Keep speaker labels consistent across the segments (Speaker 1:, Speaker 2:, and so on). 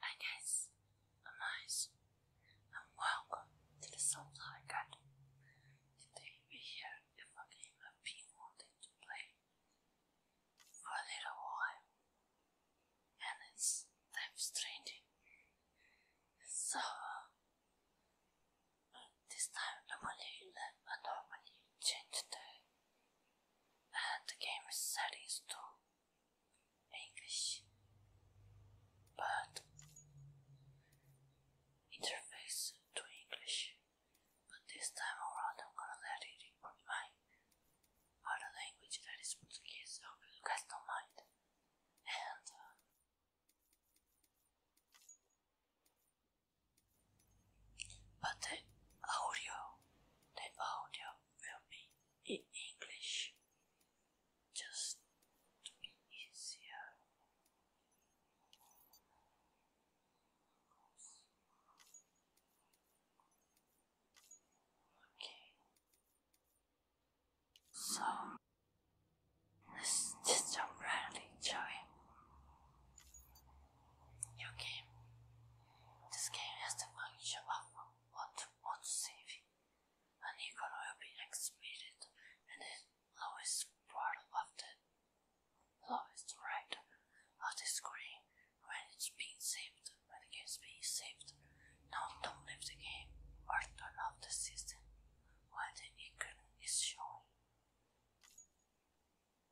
Speaker 1: Hi guys, I'm Ice, and welcome to the Soulfly Garden. Today we're here with a game been wanting to play for a little while, and it's time uh, normally, I change the and the game is series to English, but interface to English. But this time around, I'm gonna let it record my other language that is Portuguese. I hope you guys don't mind. And uh, but the audio, the audio will be in English just to be easier.
Speaker 2: Okay. So
Speaker 1: this is just a random joy. Your game. This game has the function of what to want saving. An icon will be exhibited and the lowest part of the lowest right of the screen when it's being saved, when the game's being saved. Now don't leave the game or turn off the system when the icon is showing.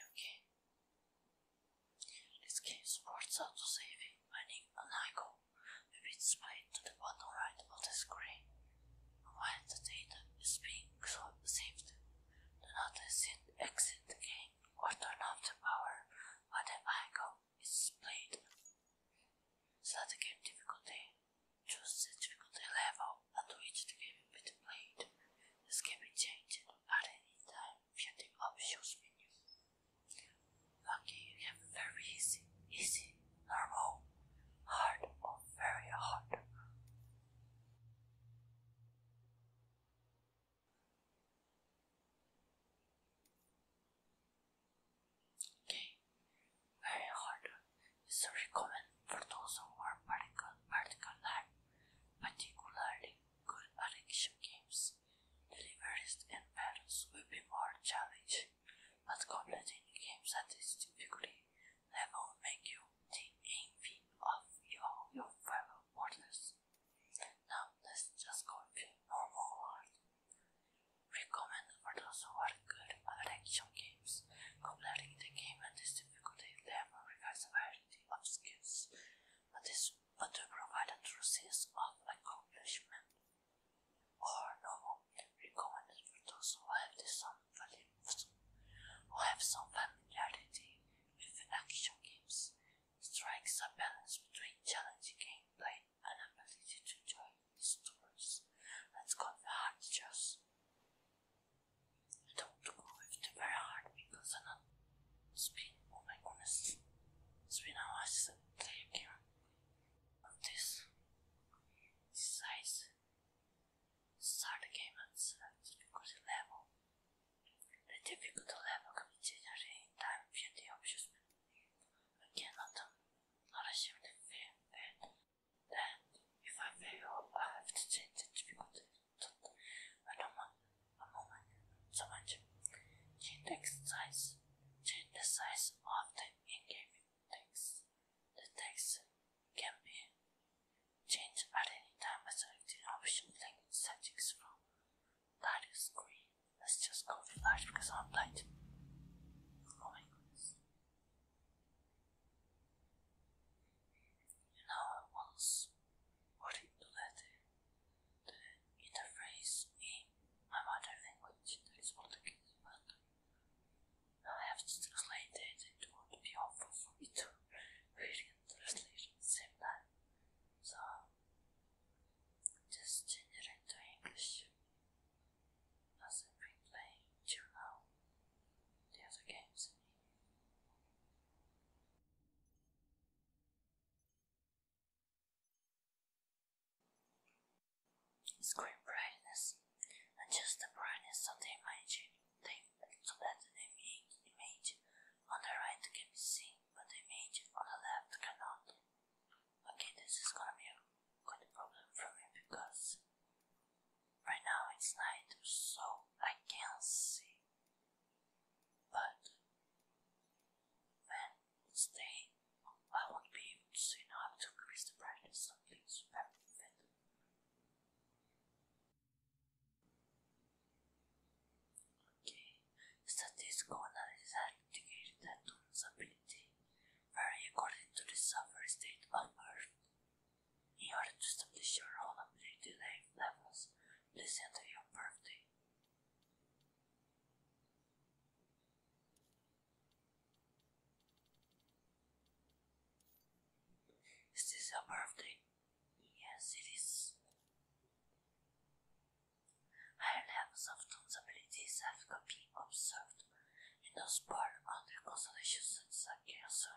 Speaker 1: 여기 This game supports auto-saving. meaning an icon will be displayed to the bottom right of the screen while the data is being saved. Do not exit the game or turn off the power when the icon is displayed. Set the game difficulty. Choose the difficulty level at which the game will be played. This can be changed at any time via the options menu. Lucky you have very easy, easy, normal, hard or very hard. Okay, very hard. It's very common for those who are particular, particular, particularly good at action games. Deliveries and battles will be more challenging, but completing games at this difficulty level will make you the envy of your, your fellow mortals. Now let's just go with normal world. Recommend for those who are good at action games. Completing the game and this difficulty level requires a variety of skills, but is but to provide a true of accomplishment or novel recommended for those who have some some familiarity with action games, strikes a balance between challenging gameplay and ability to enjoy the stories. Let's go the hard choice. I don't go very hard because I'm not speed. Oh my goodness. It's been hours taking this. size. Start the at select difficulty level. The difficulty level can be changed in time via the options. Again, not, not assume the fair then, if I fail, I have to change it because it's a moment, a moment, so much. Change the size, change the size of the in-game text. The text can be changed at any time by selecting options language settings from title screen. Let's just go with that because I'm blind. Oh my goodness. And how I was putting the letter, the interface in my mother language, that is what the case I have to translate it, it would be helpful for me to the same time. So, just change it into English. As i been playing till now, the other games in Screen brightness. Adjust the brightness of the image so that the image on the right can be seen, but the image on the left cannot. Okay, this is gonna be a good problem for me because Right now it's night, so I can't see. But when it's day, I won't be able to see. Now to increase the brightness of these very fit. Okay, statistical analysis has indicated that Don's ability vary according to the sovereign state of Earth. In order to establish your own ability levels, please enter your birthday. Is this your birthday? Yes, it is. Higher levels of Toon's abilities have been observed in those part under constellations such as Cancer,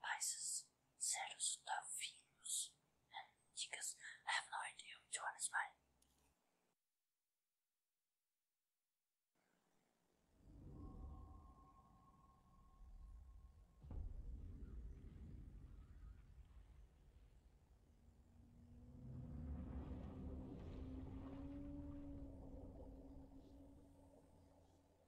Speaker 1: Pisces, Serus Tavinus, and Ticus. I have no idea which one is mine.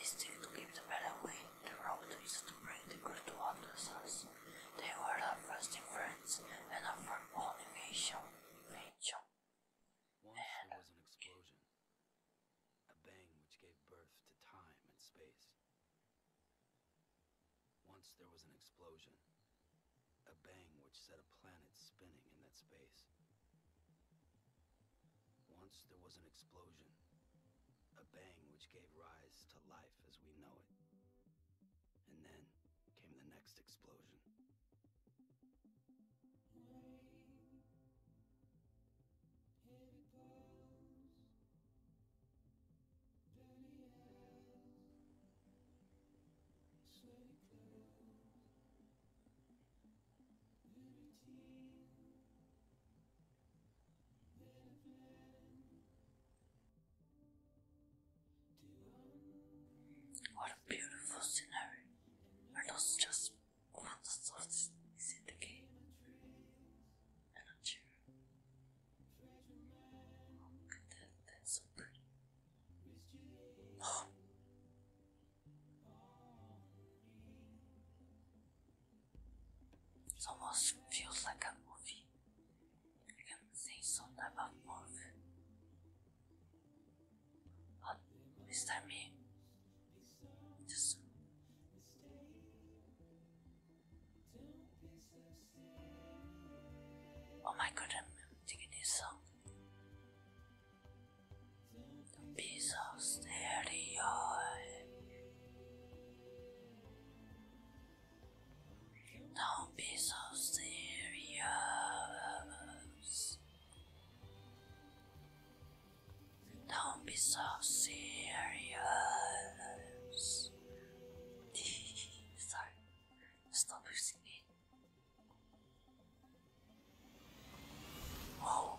Speaker 1: This seemed to give the better way. The road is to bring the crew to Anderson's. They were the first friends and
Speaker 2: of firm invasion. invasion. Once there was an explosion, a bang which gave birth to time and space. Once there was an explosion, a bang which set a planet spinning in that space. Once there was an explosion. A bang which gave rise to life as we know it.
Speaker 1: And then came the next explosion.
Speaker 2: Rain, heavy clouds, dirty eyes, sweaty clothes, libertine. What a beautiful scenery.
Speaker 1: Are those just quantities in the game? And a chair. Oh, look at so pretty. It almost feels like a movie. I can see some type of movie. But this me, Oh my god, I'm digging this song the piece of stereo. No piece of stereo. Don't be so serious. Sorry, stop using Whoa.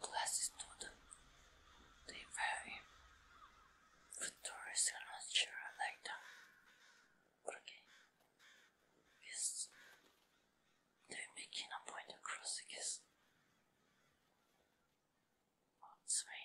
Speaker 1: classes student. They vary. Futurists are not like them. Okay. Yes. They're making a point across, I it's raining.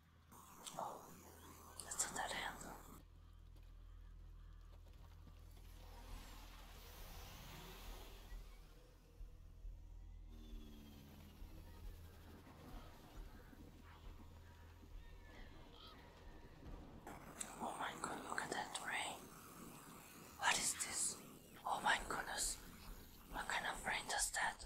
Speaker 1: Oh, that's that hand. Oh my god, look at that rain. What is this? Oh my goodness. What kind of rain is that?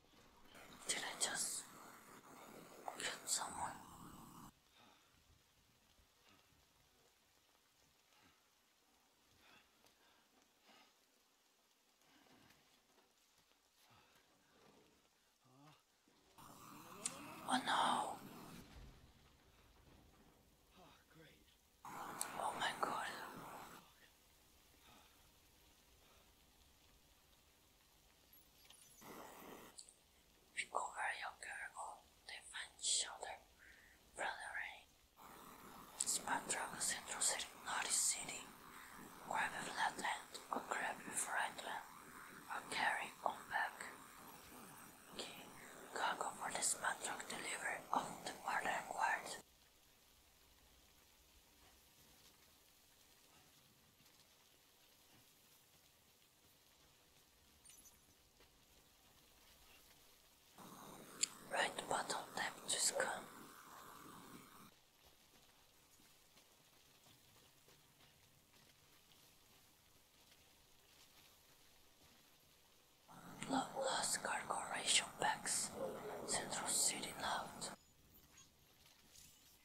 Speaker 1: Did I just kill someone? Oh no. Oh my god. Recover your girl, they find each other, brothering. Sparta was introducing Naughty City. Grab a flatland, or grab a frightland, carry on back. Okay, cargo for the smart truck delivery of the modern world. Right bottom left to come. Love lost cargo bags. Central City loud.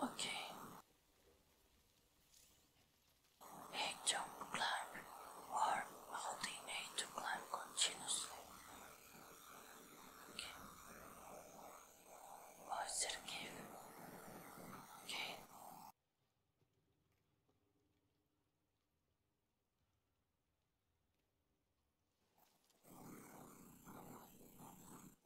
Speaker 1: Okay. Nature climb or holding A to climb continuously. Okay. Oh, is it Okay.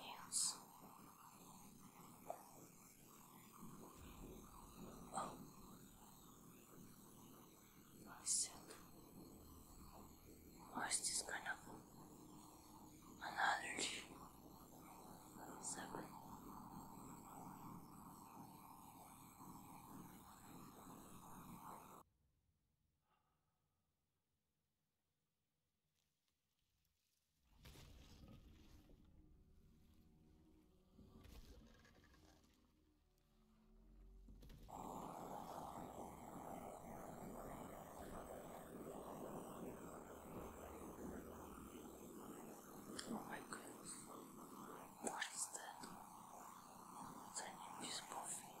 Speaker 1: Yes. Oh. You are sick. is this kind of an
Speaker 2: Oh my goodness, what is that? It's an invisible thing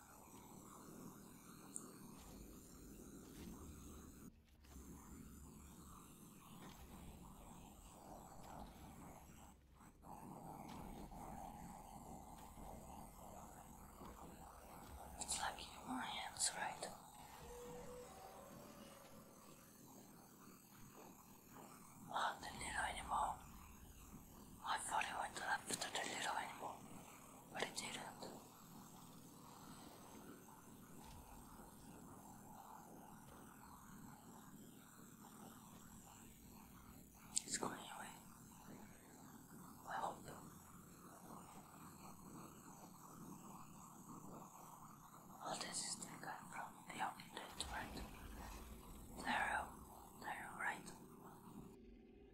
Speaker 1: It's like in my hands, right? Oh, the little animal. I thought it went left to the little animal but it didn't.
Speaker 2: It's going away. I hope. All this is taken from the outlet, right? There, there, right?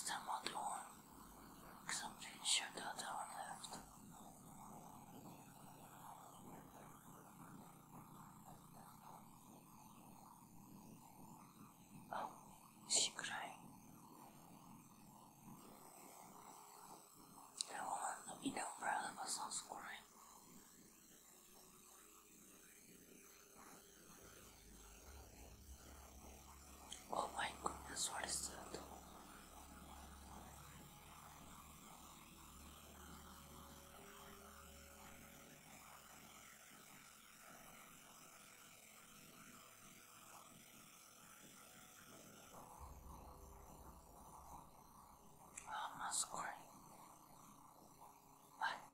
Speaker 2: Stand on the one, something should the other one left. Oh, is she crying?
Speaker 1: The woman in the umbrella was also crying. Oh my goodness, what is that? Oh, I'm not scoring. What?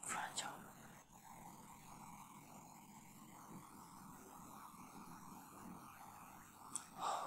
Speaker 2: fragile. Porter preaches. The man who delivers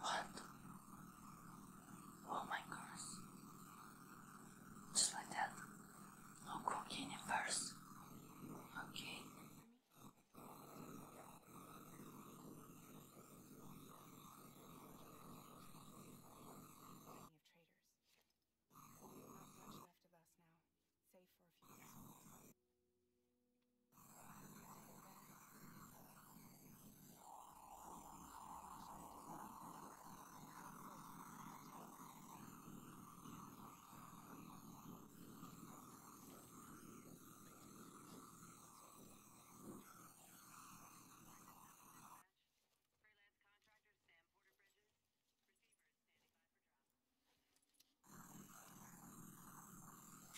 Speaker 2: What? Oh my goodness.
Speaker 1: Just like that. No cooking first. Okay.
Speaker 2: Not much left of us now, save for a few seconds. Sam Porter Bridges,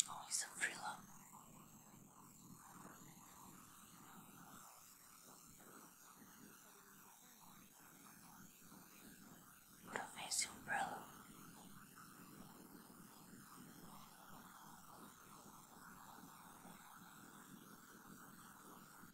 Speaker 1: Oh, he's a freeload. What a amazing umbrella.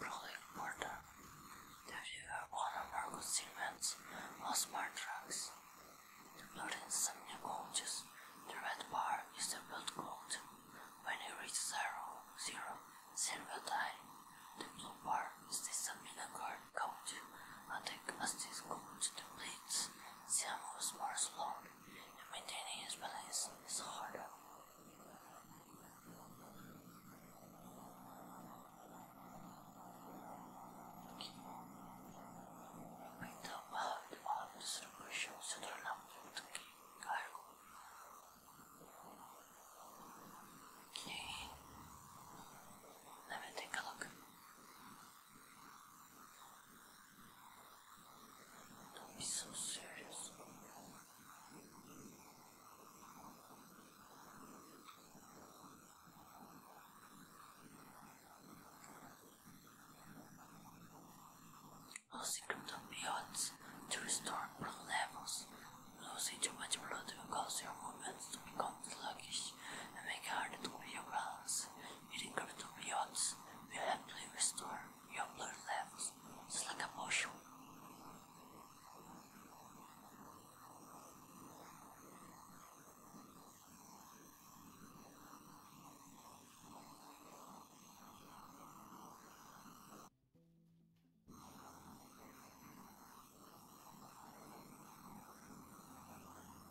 Speaker 2: Probably important that you are one
Speaker 1: of our constituents or smart drugs. The blood is semi-coaches. The red bar is the blood coat. When it reaches
Speaker 2: zero, zero, then will die. The blue bar is the semi-coat. And the acid coat depletes the amorous bar's blood and maintaining
Speaker 1: his balance is harder. Okay. Picked up out all the superficial children up to cargo. Okay.
Speaker 2: Let me take a look. Don't be so serious.
Speaker 1: Losing cryptobiotes to restore blood levels. Losing too much blood cause your movements to become sluggish and make it harder to be your Eating cryptobions will actually restore your blood levels, just like a potion.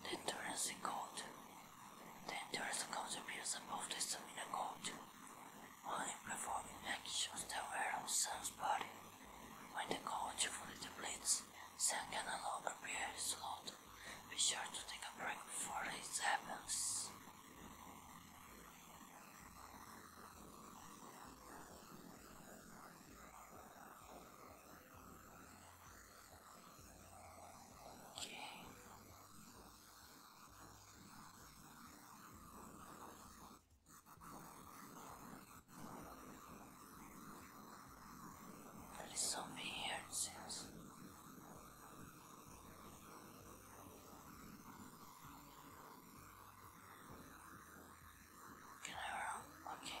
Speaker 1: The interesting cold. The interesting cold appears above the stamina cold. Only performing actions that were on Sun's body. When the cold fully depletes, Sun can no longer be his load. Be sure to take a break before this happens. Okay. There is so many sense.
Speaker 2: Can I roll? Uh, okay.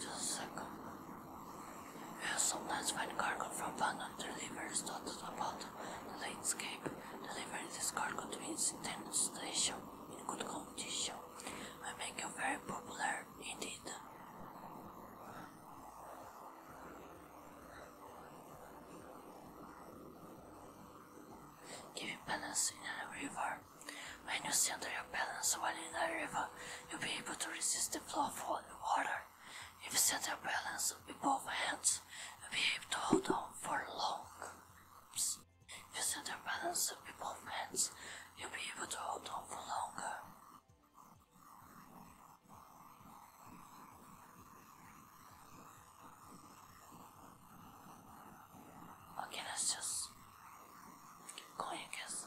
Speaker 2: Just a second. Yes, sometimes when cargo from abandoned deliveries dotted about the
Speaker 1: landscape, delivering this cargo to its intended station in good condition will make very popular indeed. Giving penance in a river when you center your
Speaker 2: balance while in a river, you'll be able to resist the flow of water. If you center your balance with both hands, you'll be able to hold on for long. If center
Speaker 1: your balance with hands, you'll be able to hold on for longer. Okay, let's just go, I guess.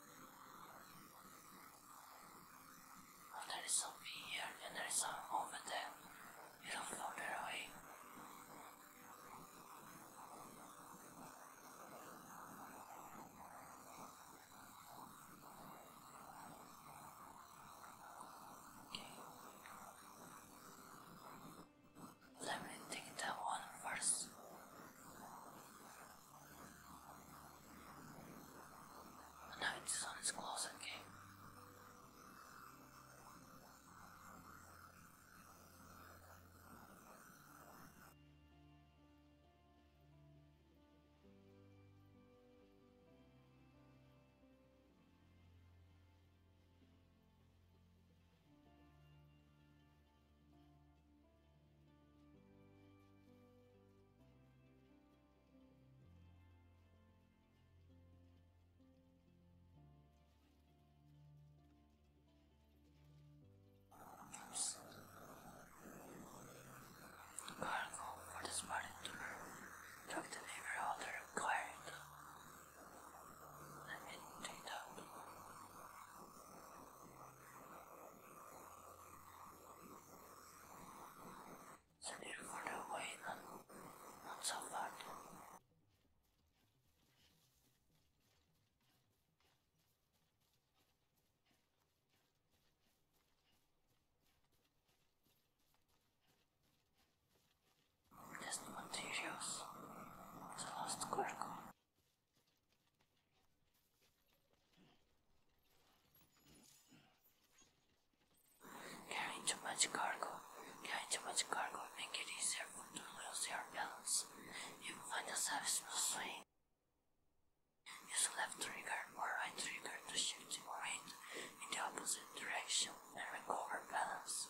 Speaker 1: Oh, there is something here and there is some over there. You don't further away. Okay. Let me take that one first.
Speaker 2: Now this one is close again. Cargo for the smart endurer. Drop the paper holder required. Let me take that. So therefore the way not, not so bad. Just materials. The last quark.
Speaker 1: Carrying too much cargo, carrying too much cargo will make it easier to lose your balance. You will find yourself swaying. Use
Speaker 2: left trigger or right trigger to shift your weight in the opposite direction and recover balance.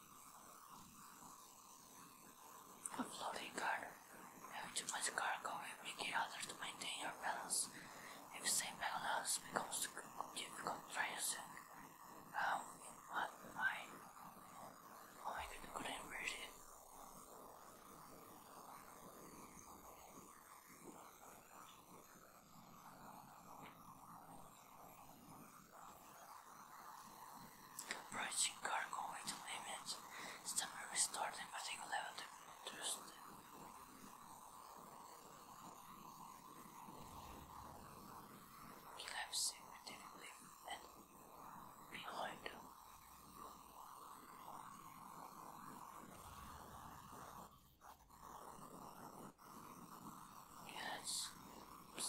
Speaker 1: A floating guard. Having too much cargo will make it to maintain your balance. If same balance becomes difficult pricing. How in what Oh
Speaker 2: my god, couldn't read it. Approaching cargo
Speaker 1: weight limits, stamina restored and fatigue level reduced. Left significantly behind.
Speaker 2: Yes.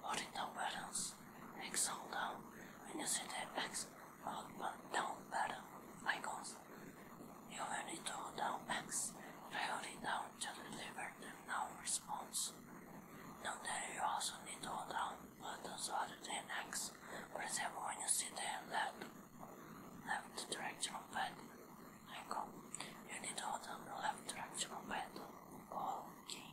Speaker 1: Holding down buttons, X hold down, you down battle icons. You will need to down packs, down to deliver them now response. Note that you also need to hold down buttons other than X, press them when you see the left, left directional pad icon. You need to hold down the left directional
Speaker 2: pad, all key.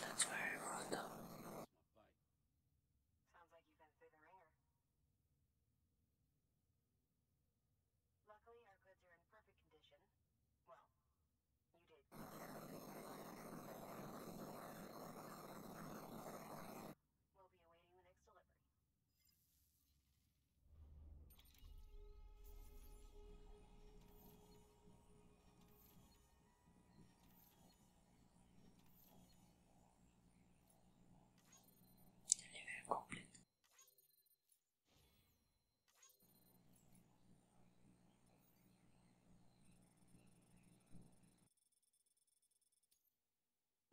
Speaker 2: That's very random. Sounds like you've been through the ringer. Luckily, our goods are in perfect condition. Well, Muted. We'll be awaiting the next delivery. Delivery complete.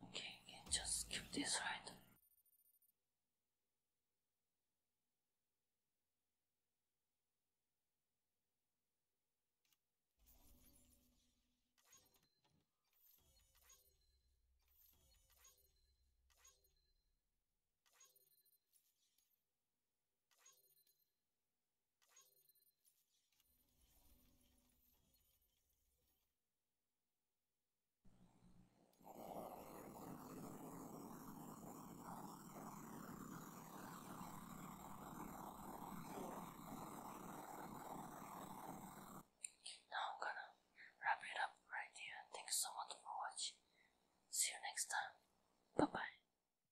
Speaker 2: Okay, just keep this, right?
Speaker 1: Now I'm gonna wrap it up right here. Thanks so much for watching. See you next time. Bye bye.